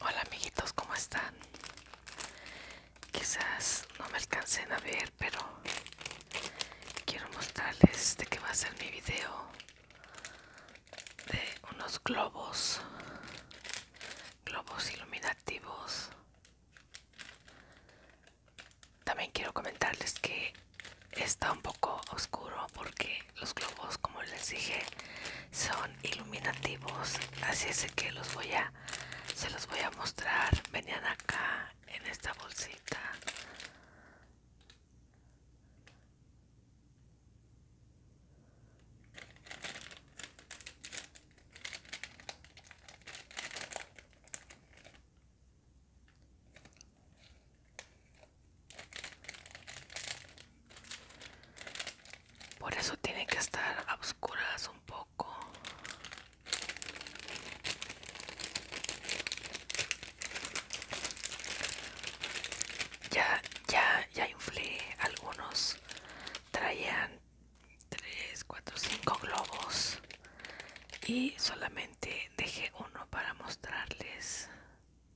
Hola amiguitos, ¿cómo están? Quizás no me alcancen a ver, pero quiero mostrarles de qué va a ser mi video de unos globos, globos iluminativos. También quiero comentarles que está un poco oscuro porque los globos, como les dije, son iluminativos. Así es que los voy a, se los voy a mostrar. Venían acá en esta bolsita. Por eso tienen que estar a oscuras un poco. Ya, ya, ya inflé algunos. Traían 3, 4, 5 globos. Y solamente dejé uno para mostrarles.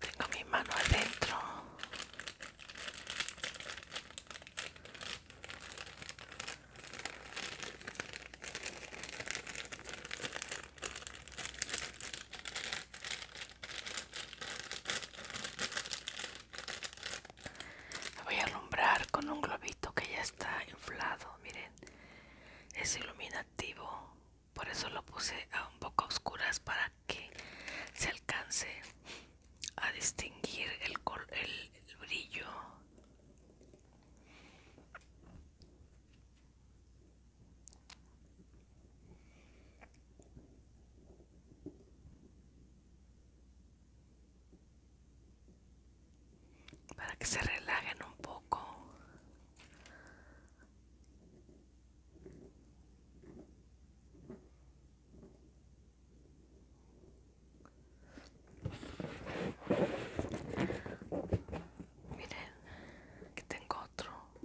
Tengo mi mano adentro voy a alumbrar con un globito que ya está inflado, miren. Es iluminativo, por eso lo puse a un poco a oscuras para que se alcance a distinguir el brillo para que se relajen un poco. Miren, que tengo otro.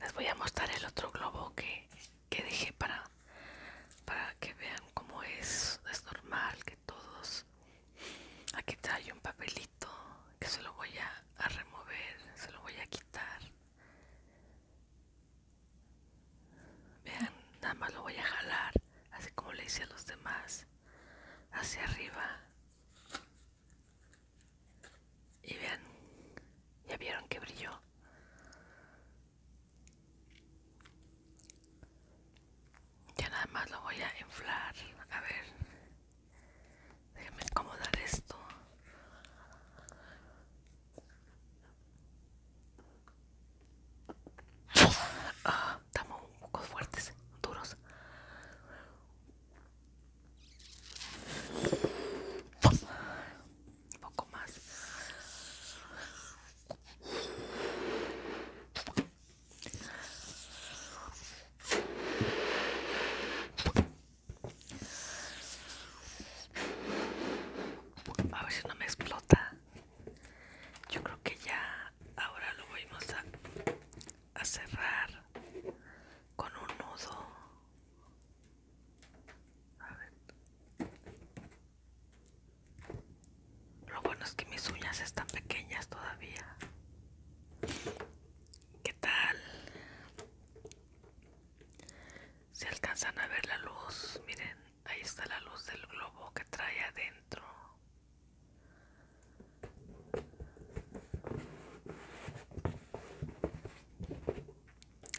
Les voy a mostrar el otro globo que, dejé para, para que vean cómo es. Es normal que todos... Aquí trae un papelito que se lo voy a, a remover, se lo voy a quitar. Vean, nada más lo voy a jalar, así como le hice a los demás, hacia arriba. Y vean, ya vieron que brilló. Ya nada más lo voy a inflar. A ver, déjenme acomodar esto. Ah, estamos un poco fuertes, duros. Un poco más. A ver si no me explota. Yo creo que ya ahora lo vamos a, a cerrar con un nudo. Lo bueno es que mis uñas están pequeñas todavía. ¿Qué tal? Si alcanzan a ver la luz, miren, ahí está la luz del globo que trae adentro.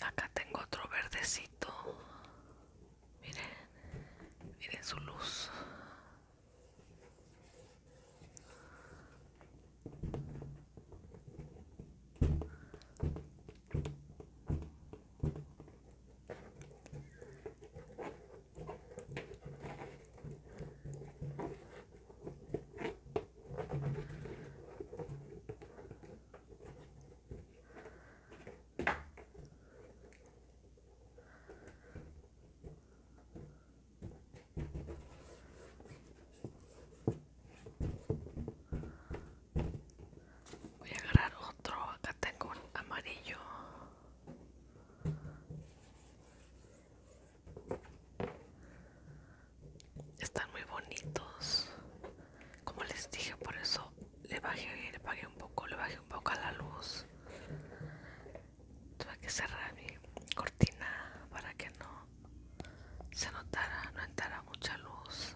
Acá tengo otro verdecito. Miren, miren su luz. Voy a agarrar otro, acá tengo un amarillo. Están muy bonitos. Como les dije, por eso le bajé, le un poco, le bajé un poco a la luz. Tuve que cerrar mi cortina para que no se notara, no entrara mucha luz.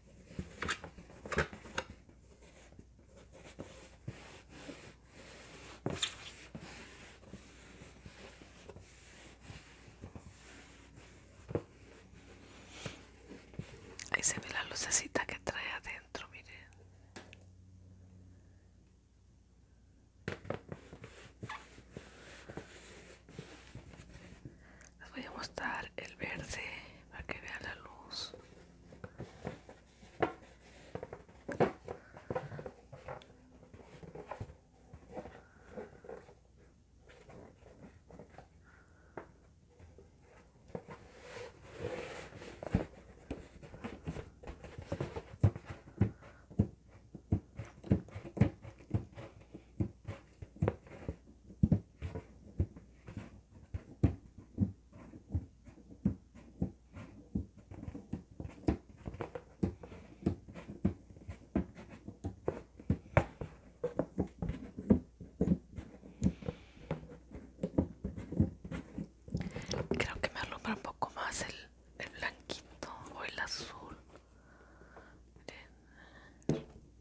Ahí se ve la lucecita que trae adentro, miren les voy a mostrar el verde para que vean la luz Creo que me alumbra un poco más el, blanquito o el azul.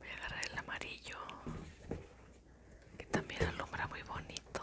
voy a agarrar el amarillo que también alumbra muy bonito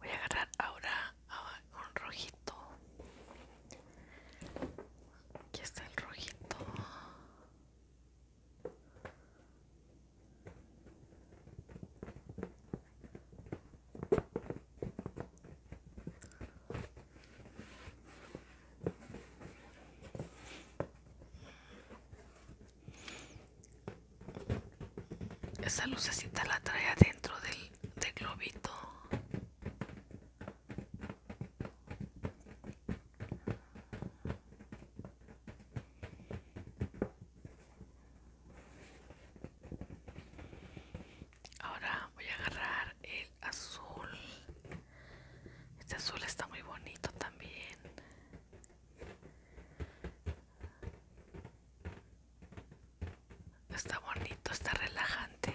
Voy a agarrar ahora un rojito. Aquí está el rojito. Esa lucecita la trae adentro del, globito. Ahora voy a agarrar el azul. Este azul está muy bonito también. Está bonito, está relajante.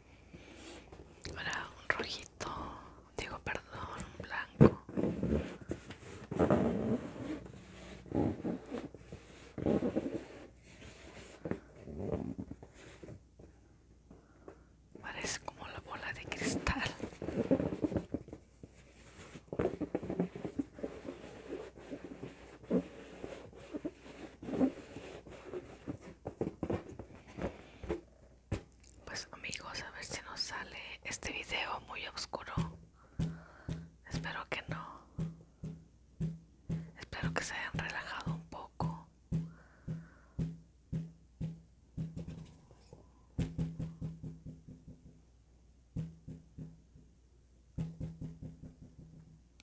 Ahora un rojito, digo perdón, blanco. Parece como la bola de cristal. Pues amigos, a ver si nos sale este video muy oscuro. Espero que no. Espero que se hayan relajado un poco.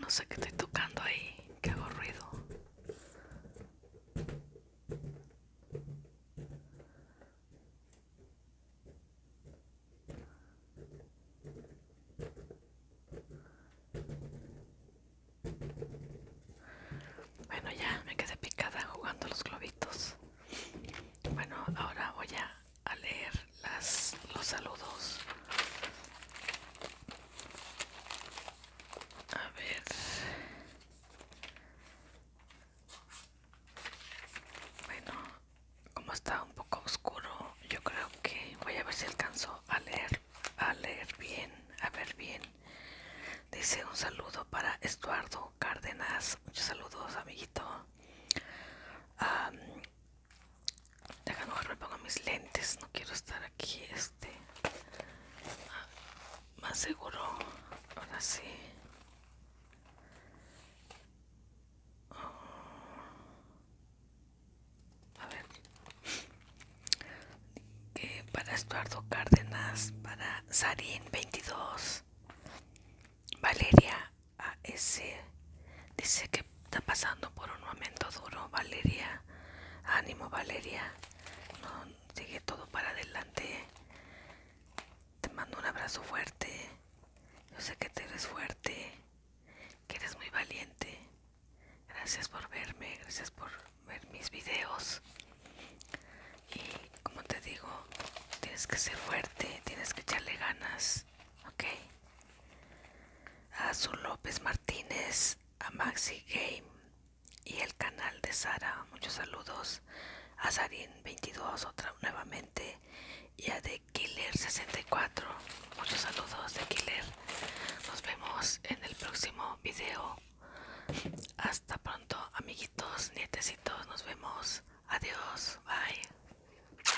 No sé qué estoy tocando ahí, que hago ruido. Bueno, ya me quedé picada jugando los globitos. Bueno, ahora voy a leer las, los saludos. A ver. Bueno, como está un poco oscuro, yo creo que voy a ver si alcanzo a leer, a leer bien, a ver bien. Dice un saludo para Estuardo Cárdenas. Muchos saludos, amiguito. Deja no me pongo mis lentes, no quiero estar aquí este ah, más seguro. Ahora sí. Oh. A ver. para Estuardo Cárdenas, para Sarín 22. Valeria AS dice que está pasando por un momento duro, Valeria. Ánimo, Valeria. No, sigue todo para adelante. Te mando un abrazo fuerte. Yo sé que te eres fuerte, que eres muy valiente. Gracias por verme, gracias por ver mis videos. Y como te digo, tienes que ser fuerte, tienes que echarle ganas, ¿ok? a su López Martínez, a Maxi Game y el canal de Sara. Muchos saludos a Sarin22 otra nuevamente y a The Killer64. Muchos saludos de Killer. Nos vemos en el próximo video. Hasta pronto, amiguitos, nietecitos. Nos vemos. Adiós. Bye.